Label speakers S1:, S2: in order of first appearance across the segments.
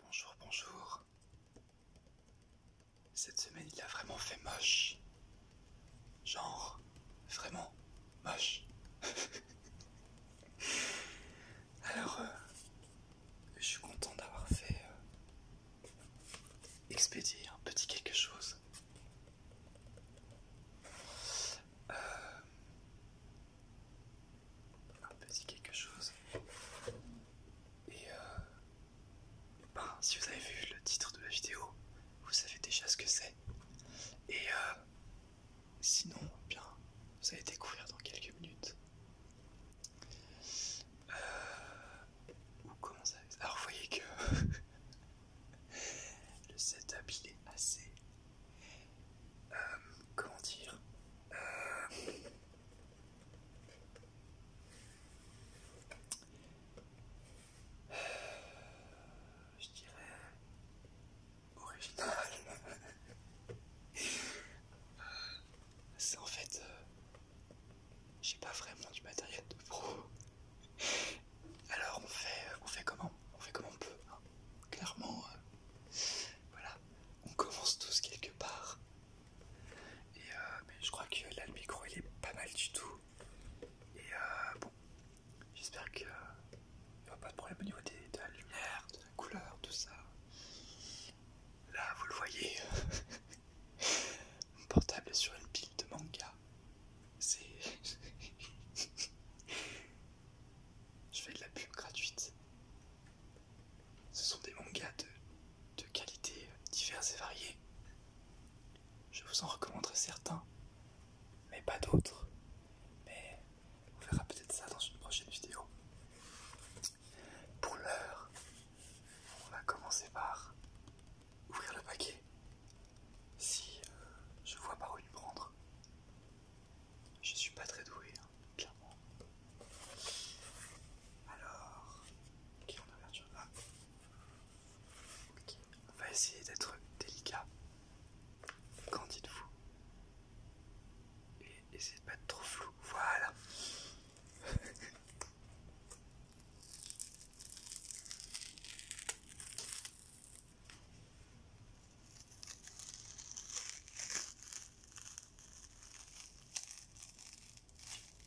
S1: Bonjour, bonjour. Cette semaine, il a vraiment fait moche. Genre, vraiment moche. Alors, euh, je suis content d'avoir fait euh, expédier un petit quelque chose. Euh, un petit quelque chose. Et euh, ben, si vous avez vu le titre de la vidéo, vous savez déjà ce que c'est. Et euh, sinon, bien, vous allez découvrir dans quelques minutes. Euh, ou comment Alors, vous voyez que le setup il est assez euh, comment dire euh, je dirais original euh, c'est en fait euh, j'ai pas vraiment du matériel de pro alors on fait on fait comment on fait comment on peut hein clairement voilà, on commence tous quelque part. Et euh, je crois que là le micro il est pas mal du tout. Et euh, bon, j'espère qu'il n'y aura pas de problème au niveau de la lumière, de la couleur, tout ça. Là vous le voyez, mon portable sur une pile de manga. C'est... Je fais de la pub gratuite. Ce sont des mangas de, qualité diverses et variées. Je vous en recommanderai certains, mais pas d'autres. Mais on verra peut-être ça dans une prochaine vidéo. Pour l'heure, on va commencer par ouvrir le paquet. Si euh, je vois par où lui prendre, je suis pas très doué, hein, clairement. Alors, on ah. On va essayer d'être délicat. Qu'en dites-vous Et essayez de pas être trop flou. Voilà.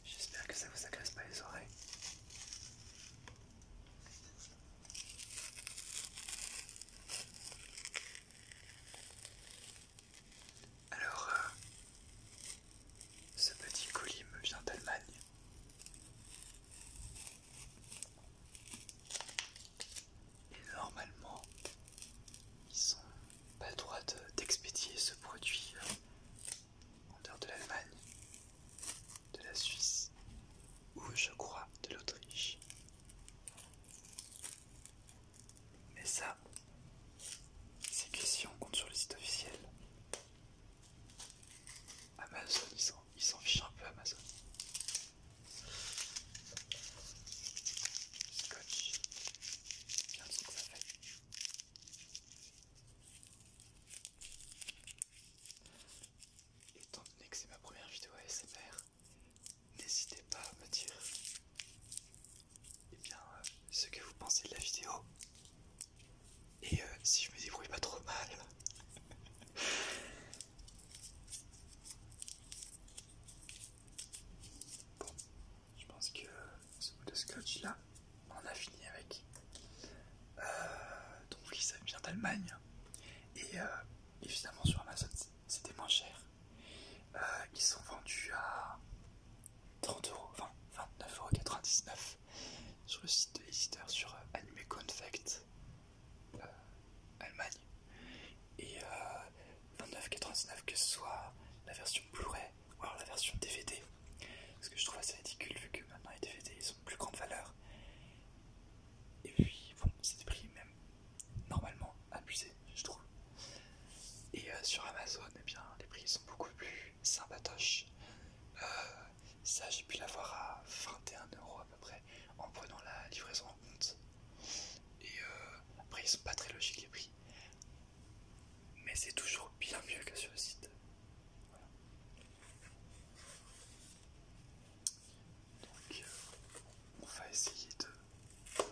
S1: J'espère que ça vous agresse pas les oreilles. Alors, euh, ce petit colis me vient d'Allemagne. Et normalement, ils sont pas le droit d'expédier ce produit euh, en dehors de l'Allemagne, de la Suisse ou je crois de l'Autriche. Mais ça, c'est que si on compte sur le site officiel. Amazon, ils s'en fichent un peu Amazon. Scotch. Étant donné que c'est ma première vidéo ASMR, n'hésitez pas à me dire et eh bien, euh, ce que vous pensez de la vidéo. Et euh, si je me débrouille pas trop mal. Bon, je pense que ce bout de scotch là, on a fini avec. Euh, donc ils ça vient d'Allemagne. Et euh, évidemment sur Amazon, c'était moins cher. Euh, ils sont vendus à 29,99€ sur le site de l'éditeur sur Anime Confect. Euh, Allemagne. Et euh, 29,99 que ce soit la version Blu-ray ou alors la version DVD. parce que je trouve assez ridicule vu que maintenant les DVD ils sont plus grande valeur. Et puis bon, c'est des prix même normalement abusés, je trouve. Et euh, sur Amazon, eh bien, les prix sont beaucoup plus sympatoches. Euh, ça, j'ai pu l'avoir à 21 euros à peu près en prenant la livraison en compte. Et euh, après, ils sont pas très logiques les prix. Mais c'est toujours bien mieux que sur le site. Donc, euh, on va essayer de.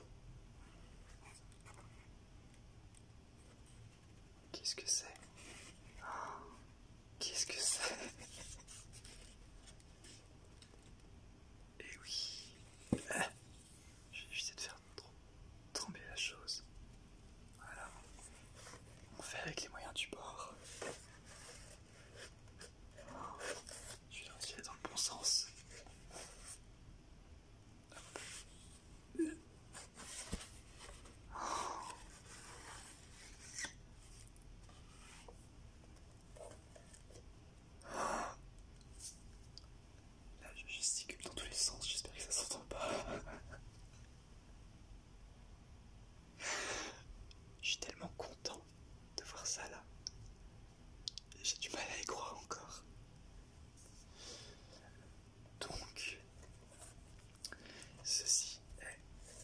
S1: Qu'est-ce que c'est ah, Qu'est-ce que c'est et eh oui, ah, je vais de faire tomber la chose. Voilà, on fait avec les moyens du bord. Je suis dans le bon sens. Là, je gesticule dans tous les sens, j'espère que ça s'entend pas. Je suis tellement content de voir ça là. J'ai du mal à y croire encore. Donc, ceci est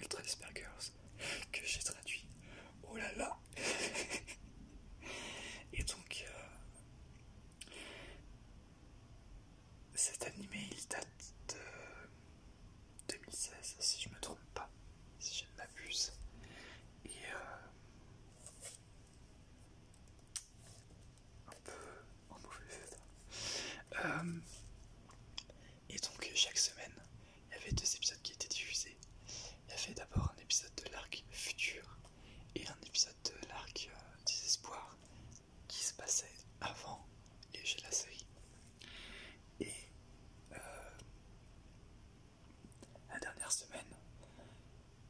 S1: Ultra Despergirls que j'ai traduit. Oh là là Et donc, euh, cet animé il date de 2016, si je me trompe pas, si je ne m'abuse. Et euh, un peu en mauvais euh, et donc, chaque semaine, il y avait deux épisodes qui étaient diffusés. Il y avait d'abord un épisode de l'arc futur et un épisode de l'arc euh, désespoir qui se passait avant et chez la série. Et euh, la dernière semaine,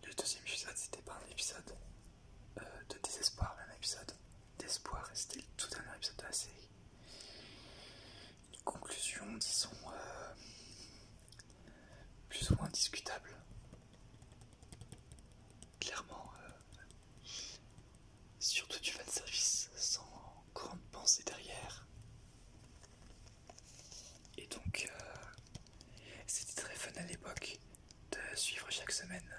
S1: le deuxième épisode, c'était pas un épisode euh, de désespoir, mais un épisode d'espoir, et c'était le tout dernier épisode de la série une conclusion, disons, euh, plus ou moins discutable. Clairement, euh, surtout du de service sans grande pensée derrière. Et donc, euh, c'était très fun à l'époque de suivre chaque semaine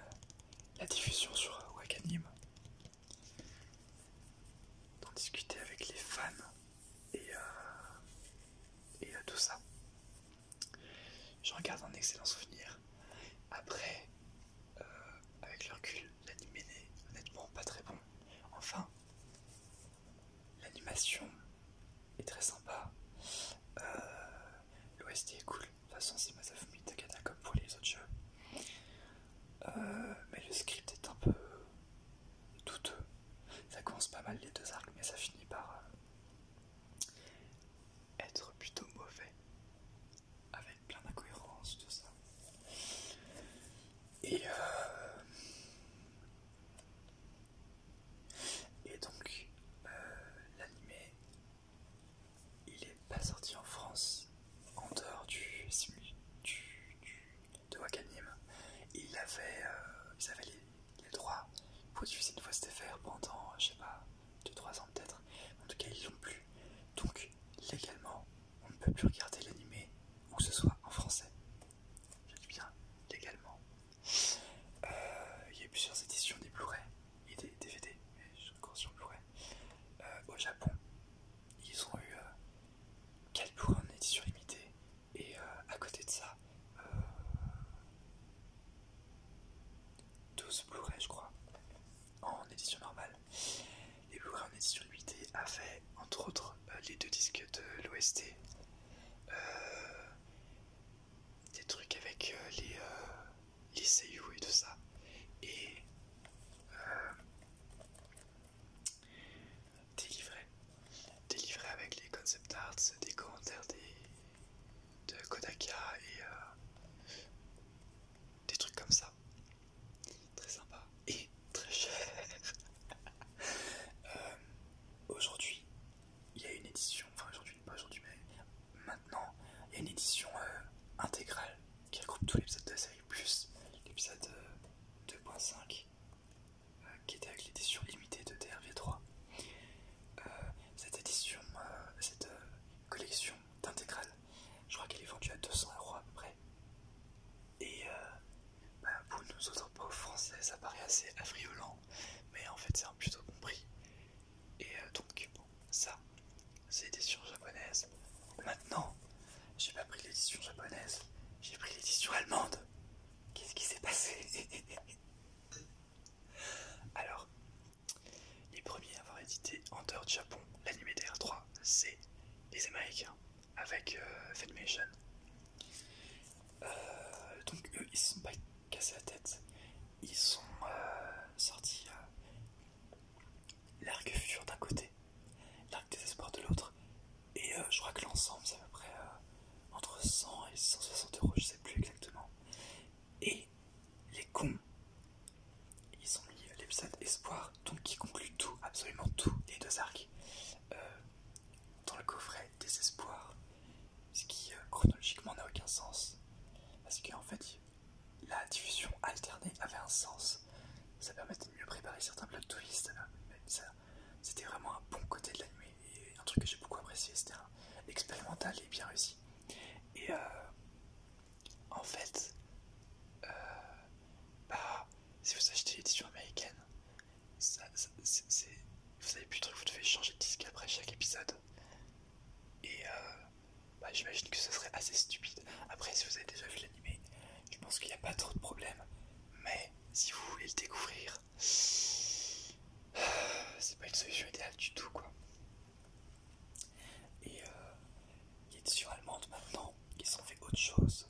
S1: la diffusion sur Wakanim d'en discuter avec les fans et, euh, et euh, tout ça. je regarde un excellent souvenir. Après, euh, avec le recul, l'anime n'est honnêtement pas très bon. Enfin, l'animation est très sympa. L'OST est cool. De toute façon, c'est Masafumi Takana comme pour les autres jeux. Euh, mais le script est un peu douteux. Ça commence pas mal les deux arcs, mais ça finit par euh, être plutôt mauvais, avec plein d'incohérences, tout ça. Et, euh, et donc, l'anime, il est pas sorti en France en dehors du, du de Wakanim, euh, ils avaient, les, droits pour diffuser une fois c'était faire pendant, je sais pas, 2-3 ans peut-être. En tout cas, ils l'ont plus. Donc, légalement, on ne peut plus regarder l'animé, ou que ce soit en français. Je dis bien légalement. Euh, il y a eu plusieurs éditions des Blu-ray et des DVD, mais je suis encore sur Blu-ray. Euh, au Japon, ils ont eu Blu-ray en édition limitée et euh, à côté de ça 12 euh, Blu-ray je crois en édition normale les Blu-ray en édition limitée avaient entre autres euh, les deux disques de l'OST des trucs avec les, et tout ça et délivré. Délivré avec les concept arts, des commentaires de Kodaka et euh, des trucs comme ça. Très sympa et très cher. Euh, aujourd'hui, il y a une édition, enfin aujourd'hui, pas aujourd'hui, mais maintenant, il y a une édition euh, intégrale qui regroupe tous les épisodes de la série, plus l'épisode 2.5 euh, euh, qui était avec l'édition limitée de DRV3. Euh, cette édition, cette collection d'intégrale, je crois qu'elle est vendue à 200 euros à peu près. Et bah, pour nous autres pauvres français, ça paraît assez affriolant, mais en fait, c'est un plutôt bon prix. Et donc, bon, ça, c'est l'édition japonaise. Maintenant, j'ai pas pris l'édition japonaise, j'ai pris l'édition allemande. Qu'est-ce qui s'est passé Alors, les premiers à avoir édité en dehors du Japon l'animé DR3, c'est les Américains avec euh, euh, donc eux, ils se sont pas cassés la tête. Ils sont euh, sortis euh, l'arc futur d'un côté, l'arc désespoir de l'autre, et euh, je crois que l'ensemble c'est à peu près euh, entre 100 et 160 euros, je sais plus exactement. Et les cons, ils ont mis l'épisode Espoir, donc qui conclut tout, absolument tout, les deux arcs, euh, dans le coffret Désespoir, ce qui chronologiquement n'a aucun sens, parce qu'en fait la diffusion alternée avait un sens ça permettait de mieux préparer certains même twists. Euh, c'était vraiment un bon côté de nuit et un truc que j'ai beaucoup apprécié. C'était expérimental et bien réussi. Et euh, en fait, euh, bah, si vous achetez l'édition américaine, vous avez plus de trucs, vous devez changer de disque après chaque épisode. Et bah, j'imagine que ce serait assez stupide. Après, si vous avez déjà vu l'animé, je pense qu'il n'y a pas trop de problème. Mais si vous voulez le découvrir, c'est pas une solution idéale du tout, quoi. Et euh, il y a sur maintenant qui ont fait autre chose.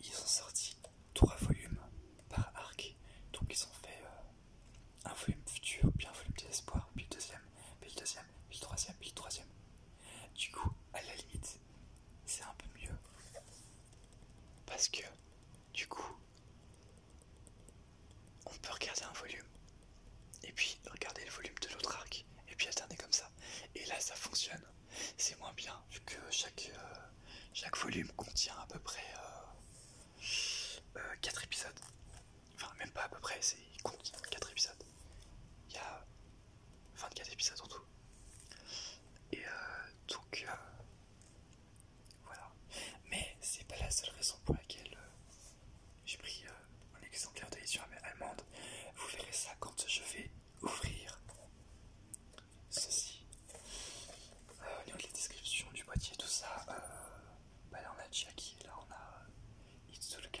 S1: Ils ont sorti trois volumes par arc, donc ils ont fait euh, un volume futur, puis un volume de l'espoir, puis le deuxième, puis le deuxième, puis le troisième, puis le troisième. Du coup, à la limite, c'est un peu mieux. Parce que, du coup, on peut regarder un volume, et puis regarder le volume de l'autre arc, et puis alterner comme ça. Et là, ça fonctionne. C'est moins bien, vu que chaque, euh, chaque volume contient à peu près 4 euh, euh, épisodes. Enfin, même pas à peu près, il contient 4 épisodes. Il y a 24 épisodes en tout. Et euh, donc, euh, voilà. Mais c'est pas la seule raison pour laquelle euh, j'ai pris un exemplaire d'édition allemande. Vous verrez ça quand je vais ouvrir ceci. au niveau de la du boîtier, tout ça, bah là on a Jackie, là on a Itsuka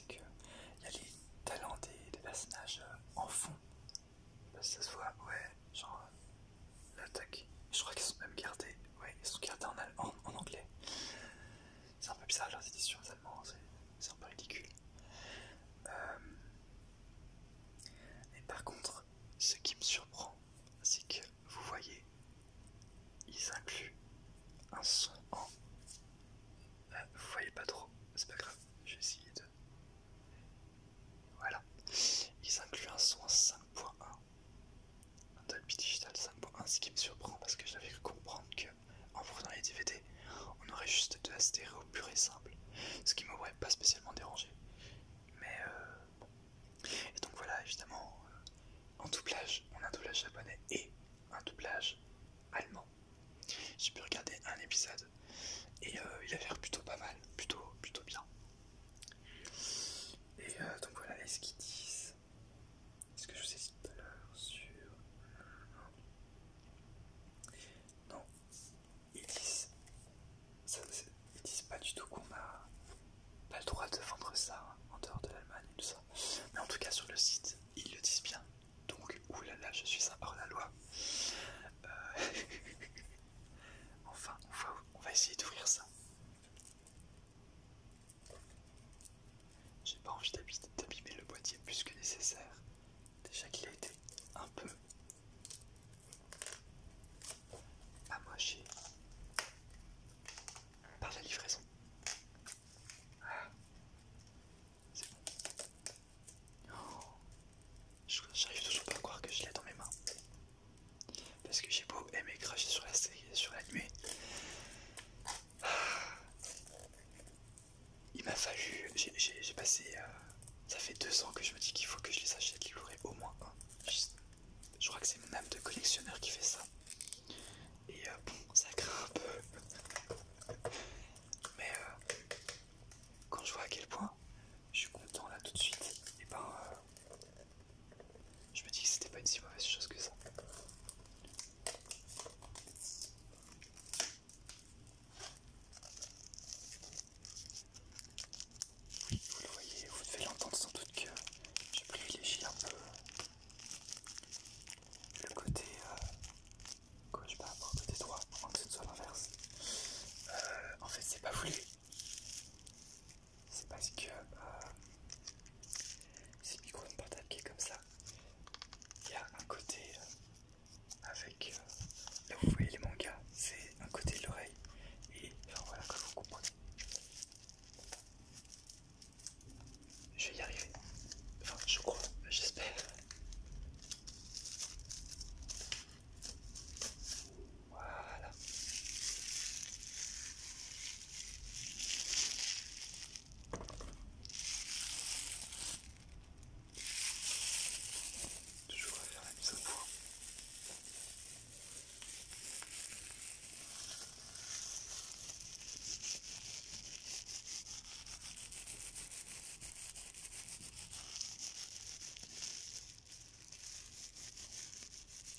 S1: c'est qu'il y a les talents des, personnages euh, en fond. Parce bah, que ça se voit, ouais, genre euh, l'attaque. Je crois qu'ils sont même gardés, ouais, ils sont gardés en, en, anglais. C'est un peu bizarre leurs éditions allemand, c'est un peu ridicule. Euh, mais par contre, ce qui me surprend, c'est que vous voyez, ils incluent un son en vous vous voyez pas trop, c'est pas grave, vais essayer de. Voilà. Ils incluent un son 5.1. Un Dolby Digital 5.1, ce qui me surprend parce que j'avais cru comprendre que en prenant les DVD, on aurait juste de la stéréo pure et simple. Ce qui m'aurait pas spécialement dérangé. Mais euh, bon. Et donc voilà, évidemment, euh, en doublage, on a un doublage japonais et un doublage allemand. J'ai pu regarder un épisode et euh, il a l'air plutôt pas mal, plutôt, plutôt bien. Et euh, donc voilà, est-ce qu'ils disent Est-ce que je vous ai dit tout à l'heure sur. Non, ils disent. disent pas du tout qu'on a pas le droit de vendre ça hein, en dehors de l'Allemagne et tout ça. Mais en tout cas, sur le site, ils le disent bien. Donc, oulala, je suis sympa par la loi enfin, on va, on va essayer d'ouvrir ça. J'ai pas envie d'abîmer le boîtier plus que nécessaire. Déjà qu'il a été un peu amoché par la livraison. C'est bon. J'arrive toujours pas à croire que je l'ai dans mes mains. Parce que j'ai beau aimer cracher sur la série, sur il m'a fallu. J'ai passé. Euh, ça fait deux ans que je me dis qu'il faut que je les achète, qu'il y au moins un. je crois que c'est mon âme de collectionneur qui fait ça. Et euh, bon, ça craint un peu. Mais euh, quand je vois à quel point je suis content là tout de suite, et eh ben euh, je me dis que c'était pas une si mauvaise chose que ça. vous le voyez, vous devez l'entendre sans doute que j'ai privilégié un peu le côté gauche par rapport au côté droit, avant que ce soit l'inverse. Euh, en fait, c'est pas voulu. C'est parce que euh, c'est du micro une portable qui est comme ça. Il y a un côté euh, avec là vous voyez les mangas, c'est un côté de l'oreille. Et voilà, que vous comprenez. Je vais y arriver. Enfin, je crois, j'espère. Voilà. Toujours à faire la mise au point.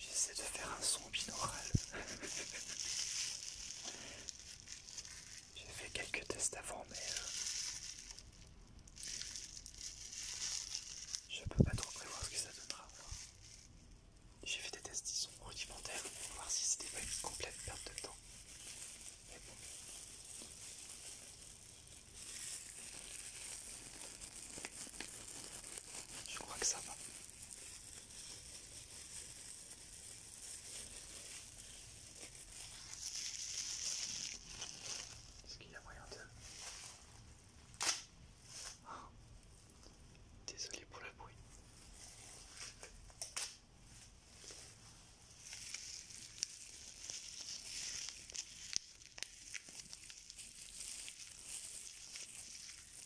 S1: J'essaie de faire un son binaural. J'ai fait quelques tests avant, mais Je euh, je peux pas trop prévoir ce que ça donnera. J'ai fait des tests qui sont rudimentaires pour voir si c'était pas une complète perte de temps. Mais bon. Je crois que ça va. Est-ce qu'il y a moyen de... Désolé pour le bruit.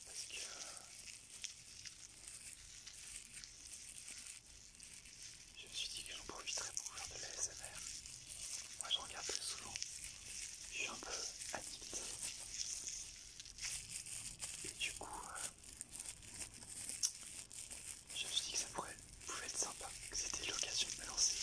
S1: Parce que euh, je me suis dit que j'en profiterais pour faire de la SMR. Moi je regarde très souvent. Je suis un peu addict. Et du coup, euh, je me suis dit que ça pourrait, pouvait être sympa, que c'était l'occasion de me lancer.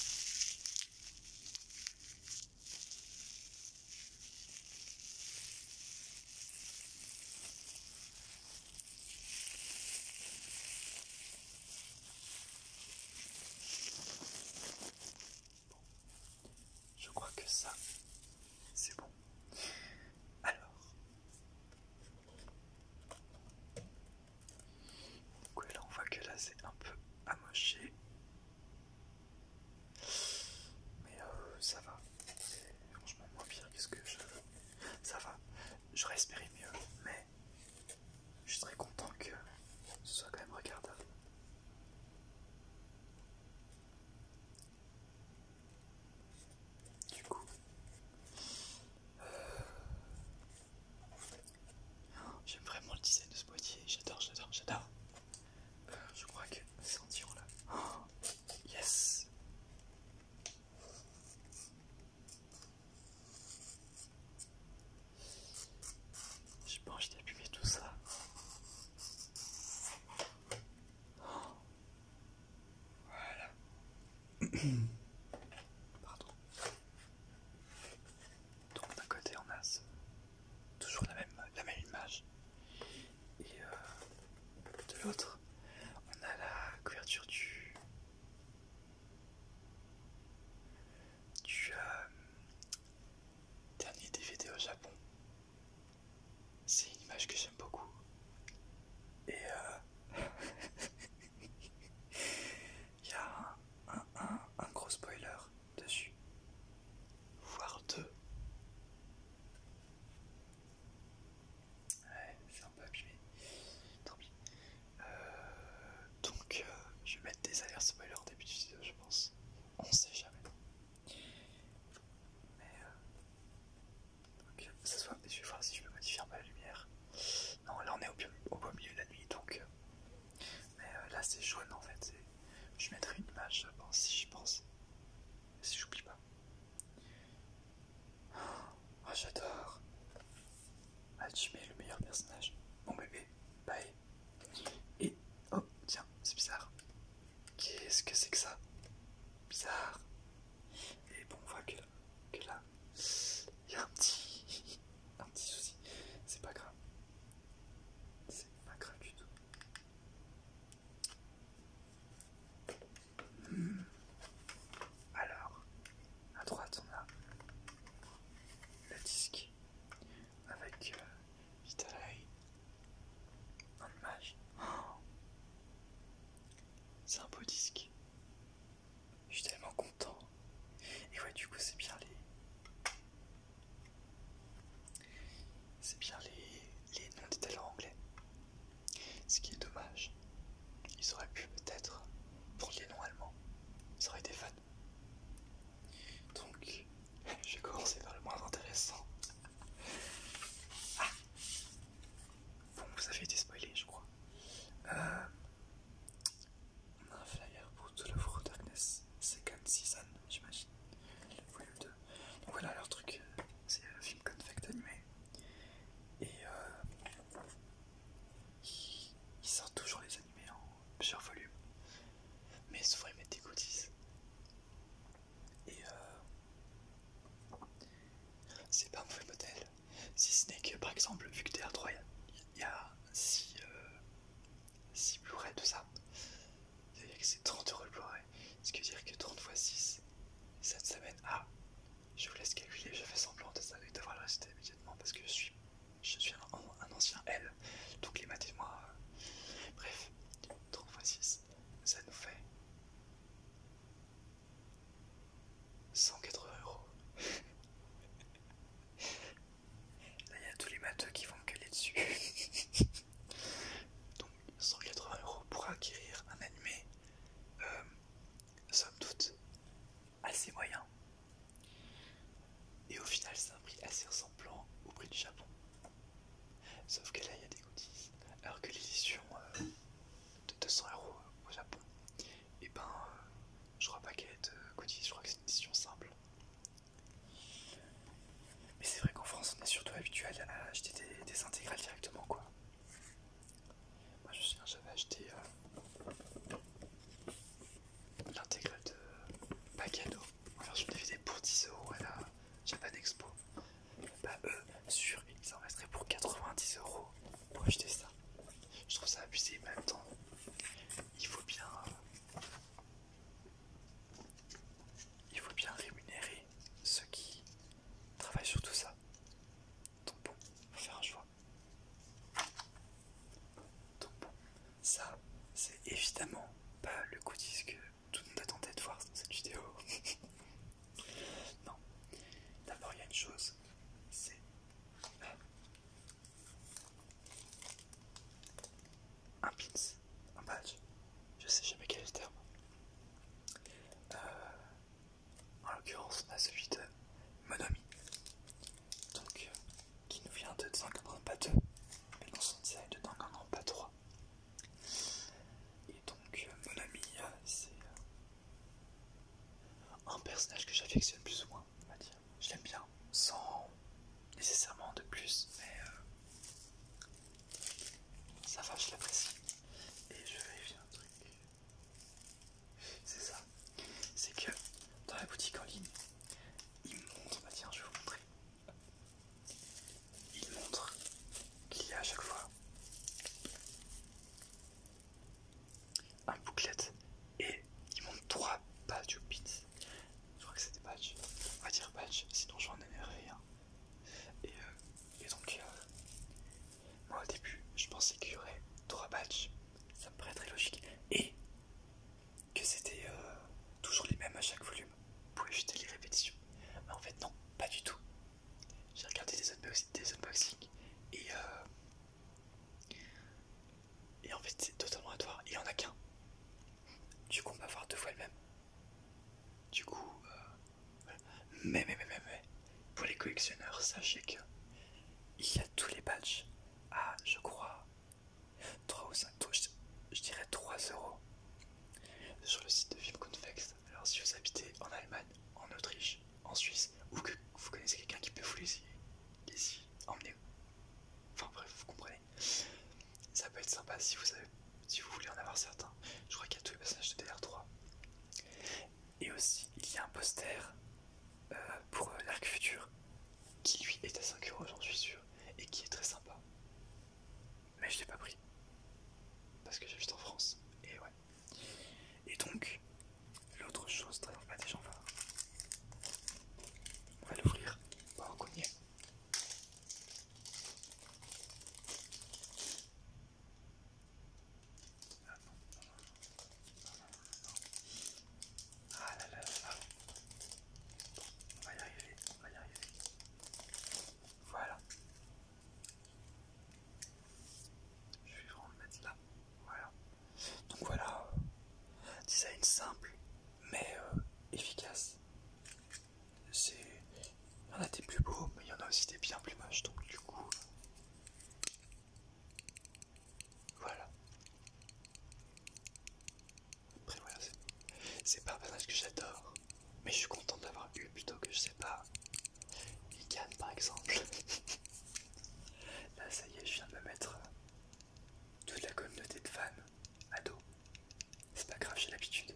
S1: Je crois que ça, c'est bon. Alors, on voit que là c'est un peu amoché, mais euh, ça va. Franchement, moins pire que ce que je. Ça va. J'aurais espéré mieux, mais je serais content que ce soit quand même regardable. Du coup, euh, j'aime vraiment le design de ce boîtier. J'adore, j'adore, j'adore. Euh, je crois que c'est en là. Oh, yes! J'ai pas envie tout ça. Voilà. Pardon. Donc d'un côté on a toujours la même, la même image. Et euh, de l'autre, on a la couverture du... Euh, dernier DVD au Japon c'est une image que j'aime beaucoup. Et euh, il y a un, gros spoiler dessus. Voire deux. Ouais, c'est un peu abîmé. Tant pis. Euh, donc, euh, je vais mettre des alertes spoilers au début du vidéo, je pense. On sait jamais. Mais euh, euh, je vais voir si je peux modifier un peu la lumière. Non, là on est au, beau milieu de la nuit donc. Euh, mais là c'est jaune en fait. Je mettrai une image pense, si je pense. Si j'oublie pas. Oh, j'adore. Ah, tu mets le meilleur personnage. Mon bébé, bye. Et oh, tiens, c'est bizarre. Qu'est-ce que c'est que ça Bizarre. Et bon, on voit que, là, il y a un petit, un petit souci. C'est pas grave. C'est pas grave du tout. Hmm. Alors, à droite, on a le disque avec euh, c'est un beau disque. Je suis tellement content. Et ouais, du coup, c'est bien les. C'est bien les, les noms des talents anglais. Ce qui est dommage. Ils auraient pu peut-être Pour les noms allemands. Ça aurait été fun. Donc, Je vais commencer par le moins intéressant. Ah. Bon, vous avez été spoilé, je crois. on euh, a un flyer pour *The le of Darkness Second Season, j'imagine. Le volume 2. Donc voilà leur truc, euh, c'est un film Confect animé. Et ils, euh, ils sortent toujours les animés en plusieurs volumes. Mais souvent ils mettent des goodies. Et euh, c'est pas un mauvais modèle. Si ce n'est que par exemple, vu que DR3 il y a 6 euh, Blu-ray tout ça, c'est-à-dire que c'est 30 euros le Blu-ray, ce qui veut dire que 30 x 6 cette semaine. Ah, je vous laisse calculer, je fais semblant de ça, d'avoir le résultat immédiatement parce que je suis, je suis un, ancien L, donc les maths et moi. Euh, bref, 30 x 6 ça nous fait 180 euros. Là, il y a tous les matheux qui vont me caler dessus. Donc, 180 euros pour acquérir un animé, euh, somme toute, assez moyen. Et au final, c'est un prix assez ressemblant au prix du Japon. Sauf que là, il y a des goodies. Alors que l'édition euh, de 200 euros au Japon, et eh ben, euh, je crois pas qu'elle ait de goodies, je crois que c'est une édition simple. Mais c'est vrai qu'en France, on est surtout habitué à acheter des, intégrales directement, quoi. Moi, je me souviens, j'avais acheté euh, l'intégrale de Pagano alors je me faisais pour 10 euros à la Japan Expo. Bah eux, sur ils en resteraient pour 90 euros pour acheter ça. Je trouve ça abusé, mais en même temps, il faut bien, il faut bien rémunérer ceux qui travaillent sur tout ça. Donc bon, faut faire un choix. Donc ça, c'est évidemment pas le coup disque tout le monde attendait de voir cette vidéo. non. D'abord, il y a une chose, c'est euh, un pins, un badge. Je sais jamais quel est le terme. Euh, en l'occurrence, on a celui de Monomi, donc euh, qui nous vient de Danganronpa 2, mais c'est son design de Danganronpa 3. Et donc, euh, mon ami, euh, c'est euh, un personnage que j'affectionne plus ou moins, Je l'aime bien, sans nécessairement de plus, mais ça va, je l'apprécie. Et je vérifie un truc. C'est ça. C'est que dans la boutique en ligne, il me montre, je vais vous montrer. Il montre qu'il y a à chaque fois un bouclette et il montre trois badges ou bits. Je crois que c'était badge On va dire badge sinon j'en ai rien Et, euh, et donc, euh, moi au début, je pensais qu'il y aurait trois badges. Ça me paraît très logique. Et que c'était euh, toujours les mêmes à chaque volume pour ajouter les répétitions. Mais en fait non, pas du tout. J'ai regardé des, des unboxings et, euh... et en fait c'est totalement toi. il y en a qu'un. Du coup on va voir deux fois le même. Du coup, euh, mais, mais mais mais mais pour les collectionneurs, sachez que il y a tous les badges à je crois 3 ou 5 touches, je dirais 3 euros sur le site de Vipconfex. Alors, si vous habitez en Allemagne, en Autriche, en Suisse, ou que vous connaissez quelqu'un qui peut vous les y, emmener, enfin bref, vous comprenez, ça peut être sympa si vous, si vous voulez en avoir certains. Je crois qu'il y a tous les passages de DR3. Et aussi, il y a un poster euh, pour euh, l'arc futur qui lui est à 5 euros, j'en suis sûr, et qui est très sympa mais je l'ai pas pris parce que juste en France et ouais. Et donc, l'autre chose très va On va l'ouvrir. Ah on va y arriver on Voilà. Je vais vraiment le mettre là. Voilà. Donc voilà. Design simple, mais euh, efficace. C'est. Il y en a des plus beaux, mais il y en a aussi des bien plus moches. Donc du coup. Voilà. Après voilà, c'est pas un personnage que j'adore, mais je suis content d'avoir eu plutôt que je sais pas. can par exemple. Là ça y est, je viens de me mettre euh, toute la communauté de fans à dos. C'est pas grave, j'ai l'habitude.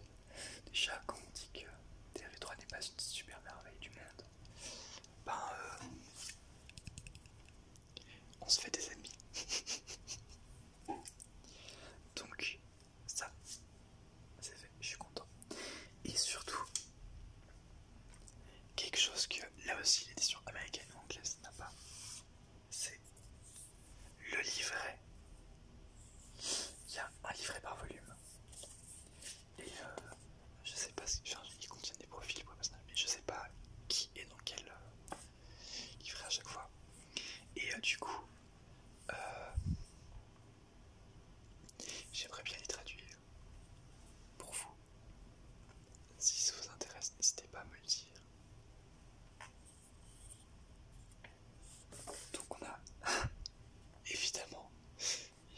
S1: Déjà quand on dit que TRV3 n'est pas une super merveille du monde, ben euh, on se fait des ennemis. Donc ça, c'est fait, je suis content. Et surtout, quelque chose que là aussi l'édition américaine ou anglaise n'a pas, c'est le livret. Il y a un livret par volume. Et euh, je sais pas si charge contient des profils pour mais je sais pas qui et dans quel livre euh, à chaque fois. Et euh, du coup, euh, j'aimerais bien les traduire pour vous. Si ça vous intéresse, n'hésitez pas à me le dire. Donc on a évidemment,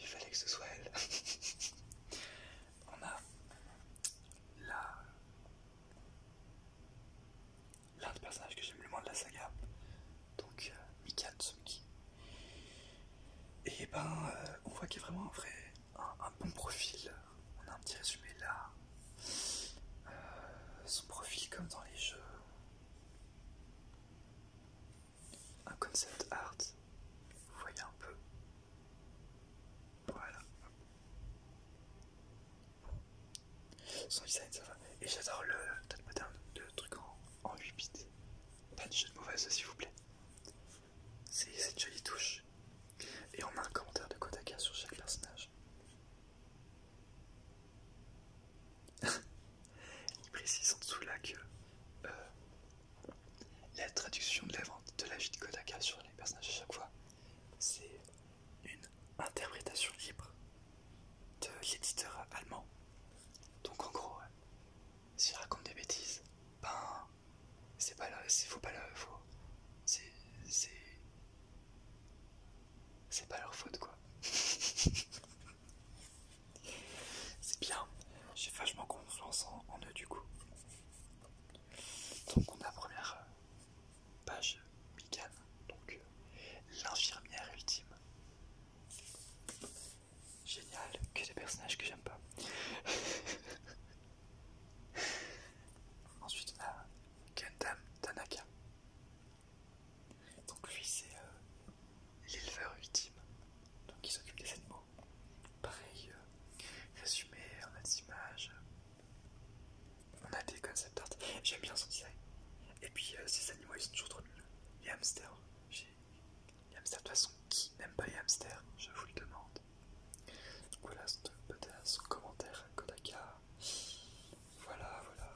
S1: il fallait que ce soit elle. on a la l'un des personnages que j'aime le moins de la saga, donc euh, Mikan Mika Et eh ben, euh, on voit qu'il y a vraiment un vrai, un, bon profil. On a un petit résumé là. Euh, son profil comme dans les jeux. Un concept art. Vous voyez un peu. Voilà. Son design, ça va. Et j'adore le top pattern de truc en, en 8 bits. Pas de jeu mauvaise, s'il vous plaît. C'est cette jolie touche. Et on a un commentaire de Kotaka sur chaque personnage. Il précise en dessous là que euh, la traduction de la de la vie de Kodaka sur les personnages à chaque fois, c'est une interprétation libre de l'éditeur allemand. Donc en gros, je raconte des bêtises, ben c'est pas c'est pas c'est pas leur faute quoi. c'est bien, j'ai vachement confiance en, en eux du coup. Donc on a la première page Mikan, donc euh, l'infirmière ultime. Génial, que des personnages que j'aime pas. Ensuite on a Gundam Tanaka. Donc lui c'est euh, l'éleveur ultime, donc il s'occupe des animaux. Pareil, euh, résumé images, on a des concept art. J'aime bien son design. Et puis euh, ces animaux ils sont toujours trop mignons. Les hamsters. Les hamsters, de toute façon, qui n'aime pas les hamsters Je vous le demande. voilà ce commentaire Kodaka. Voilà, voilà.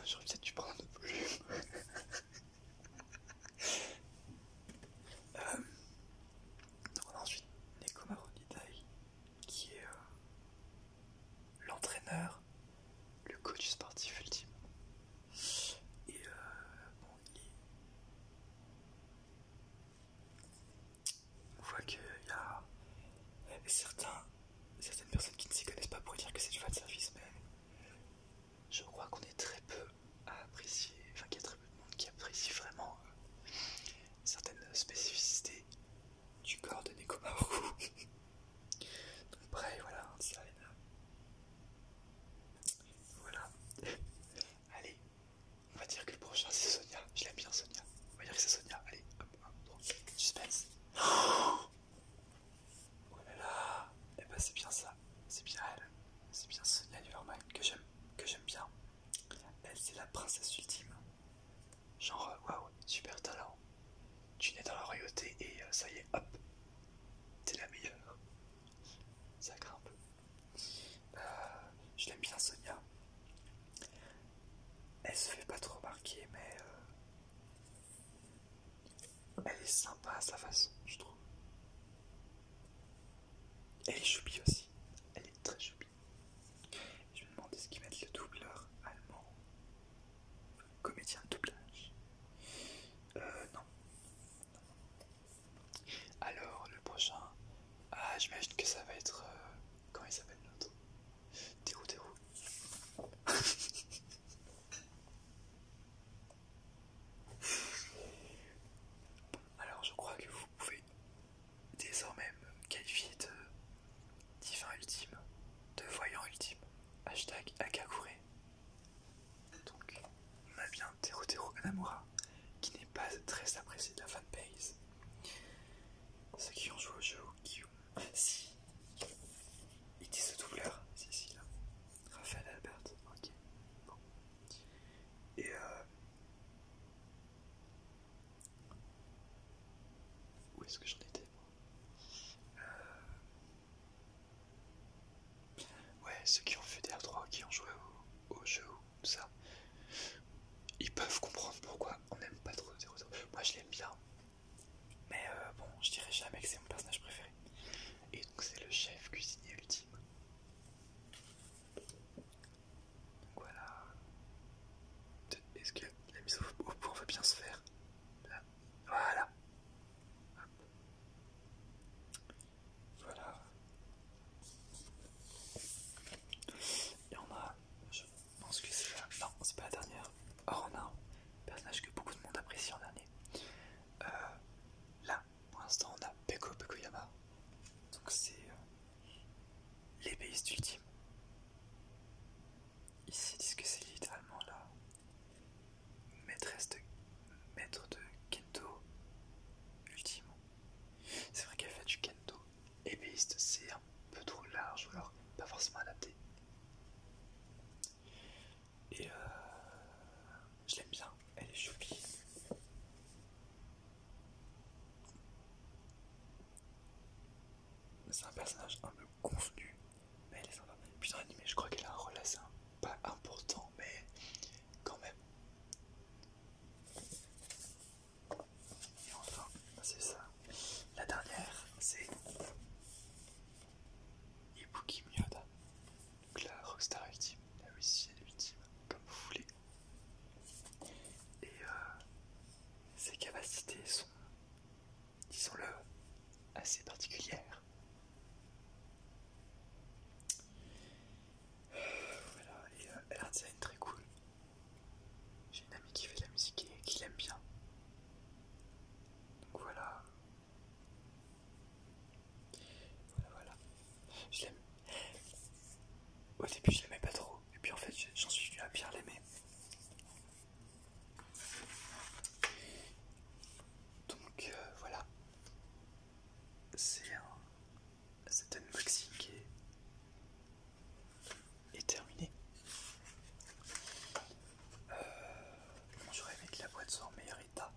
S1: J'aurais peut-être dû prendre de plus. On a ensuite Neko Maronidai qui est euh, l'entraîneur, le coach sportif ultime. Et euh, bon, il On voit qu'il y a certains, certaines personnes qui ne s'y connaissent pas pour dire que c'est du fan service, mais je crois qu'on est très peu apprécier, enfin qu'il y a très peu de monde qui apprécie vraiment euh, certaines spécificités du corps de Nekomaru. Donc bref, voilà, hein, Arena. Voilà. Allez, on va dire que le prochain c'est Sonia. Je l'aime bien Sonia. On va dire que c'est Sonia. Allez, hop, hop, Suspense. Oh là là. Eh ben c'est bien ça. C'est bien elle. C'est bien Sonia Lieberman que j'aime, que j'aime bien. Elle, c'est la princesse ultime. Genre, euh, waouh, super talent. Tu nais dans la royauté et euh, ça y est, hop, t'es la meilleure. Ça craint un peu. Euh, je l'aime bien, Sonia. Elle se fait pas trop marquer, mais elle est sympa à sa façon, je trouve. Elle est choupie aussi. Elle est très choupie. Je me demande ce va être le doubleur allemand. Comédien de doublage. Euh, non. Alors, le prochain. Ah, j'imagine que ça va être. Euh, comment il s'appelle l'autre Théo Alors je crois que vous pouvez désormais me qualifier de divin ultime, de voyant ultime, hashtag Akakure. Donc on a bien Tero qui n'est pas très apprécié de la fanbase. Ceux qui ont joué au jeu qui ont... Si Ils disent ce doubleur, si si là. Raphaël Albert, ok. Bon. Et euh, où est-ce que j'en étais moi euh, Ouais, ceux qui ont fait des R3, qui ont joué au, jeu tout ça, ils peuvent comprendre pourquoi on n'aime pas trop Zero. Moi je l'aime bien, mais euh, bon, je dirais jamais que c'est mon personnage préféré. Et donc c'est le chef cuisinier ultime voilà. Est-ce que la mise au point va bien se faire Voilà. Voilà. Et on a, je pense que c'est la... Non, c'est pas la dernière. Or oh, on a un personnage que beaucoup de monde apprécie en dernier. Euh, là, pour l'instant, on a Peko Pekoyama. Donc c'est euh, l'ébéiste ultime. Ici, ils disent que c'est littéralement la maîtresse de maître de kendo ultime. C'est vrai qu'elle fait du kendo. Ébéiste, c'est un peu trop large, ou alors pas forcément adapté. Et euh, je l'aime bien, elle est choupi. C'est un personnage un peu convenu, mais elle est sympa. Putain, je crois qu'elle a un rôle assez pas important, mais quand même. Et enfin, c'est ça. La dernière, c'est Ibuki Myoda. Donc la Rockstar Ultime, la Russienne Ultime, comme vous voulez. Et euh, ses capacités sont, disons-le, assez particulières. Voilà, et euh, elle a un design très cool. J'ai une amie qui fait de la musique et qui l'aime bien. Donc voilà, voilà, voilà. Je l'aime. Au début, je l'aimais pas trop. Et puis en fait, j'en suis venu à bien l'aimer. Donc euh, voilà. C'est un. Cet unboxing est, est terminé. Euh, J'aurais aimé que la boîte soit en meilleur état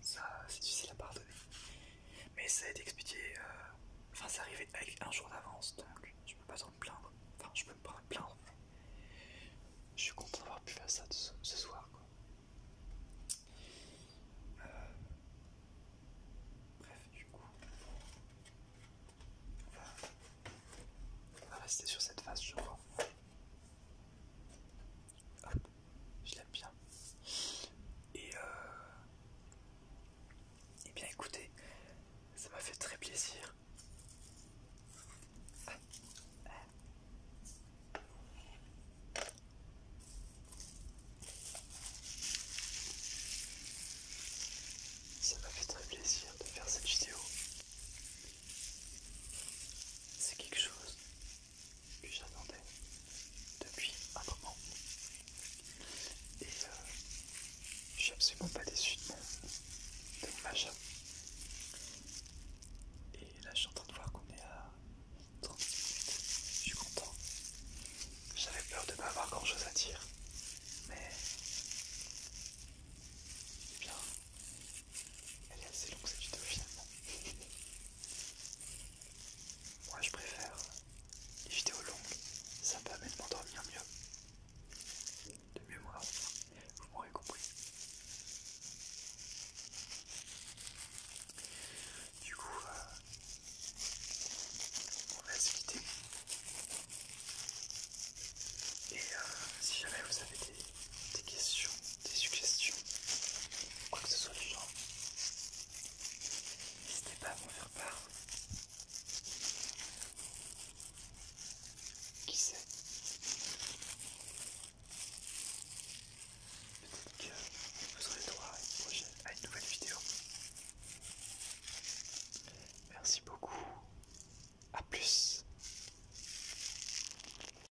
S1: ça c'est difficile à pardonner. Mais ça a été expédié, euh, enfin c'est arrivé avec un jour d'avance, donc je peux pas trop me plaindre. Enfin je peux me plaindre, je suis content d'avoir pu faire ça ce, soir. Euh, bref, du coup, on va... rester sur cette phase, je crois. Hop, je l'aime bien. Et, euh, et eh bien écoutez, ça m'a fait très plaisir. Ça m'a fait très plaisir de faire cette vidéo. C'est quelque chose que j'attendais depuis un moment. Et euh, je suis absolument pas déçu de mon, chat Et là, je suis en train de voir qu'on est à 30 minutes. Je suis content. J'avais peur de ne pas avoir grand chose à dire. Mais. c'est eh bien, elle est assez longue cette vidéo finalement. Moi je préfère les vidéos longues, ça permet de m'endormir mieux. De mieux moi, vous m'aurez compris. Du coup, euh, on va se quitter. Et euh, si jamais vous avez des questions des suggestions, quoi que ce soit du genre, n'hésitez pas à m'en faire part. Qui sait Peut-être que vous aurez droit à une, prochaine, à une nouvelle vidéo. Merci beaucoup. à plus.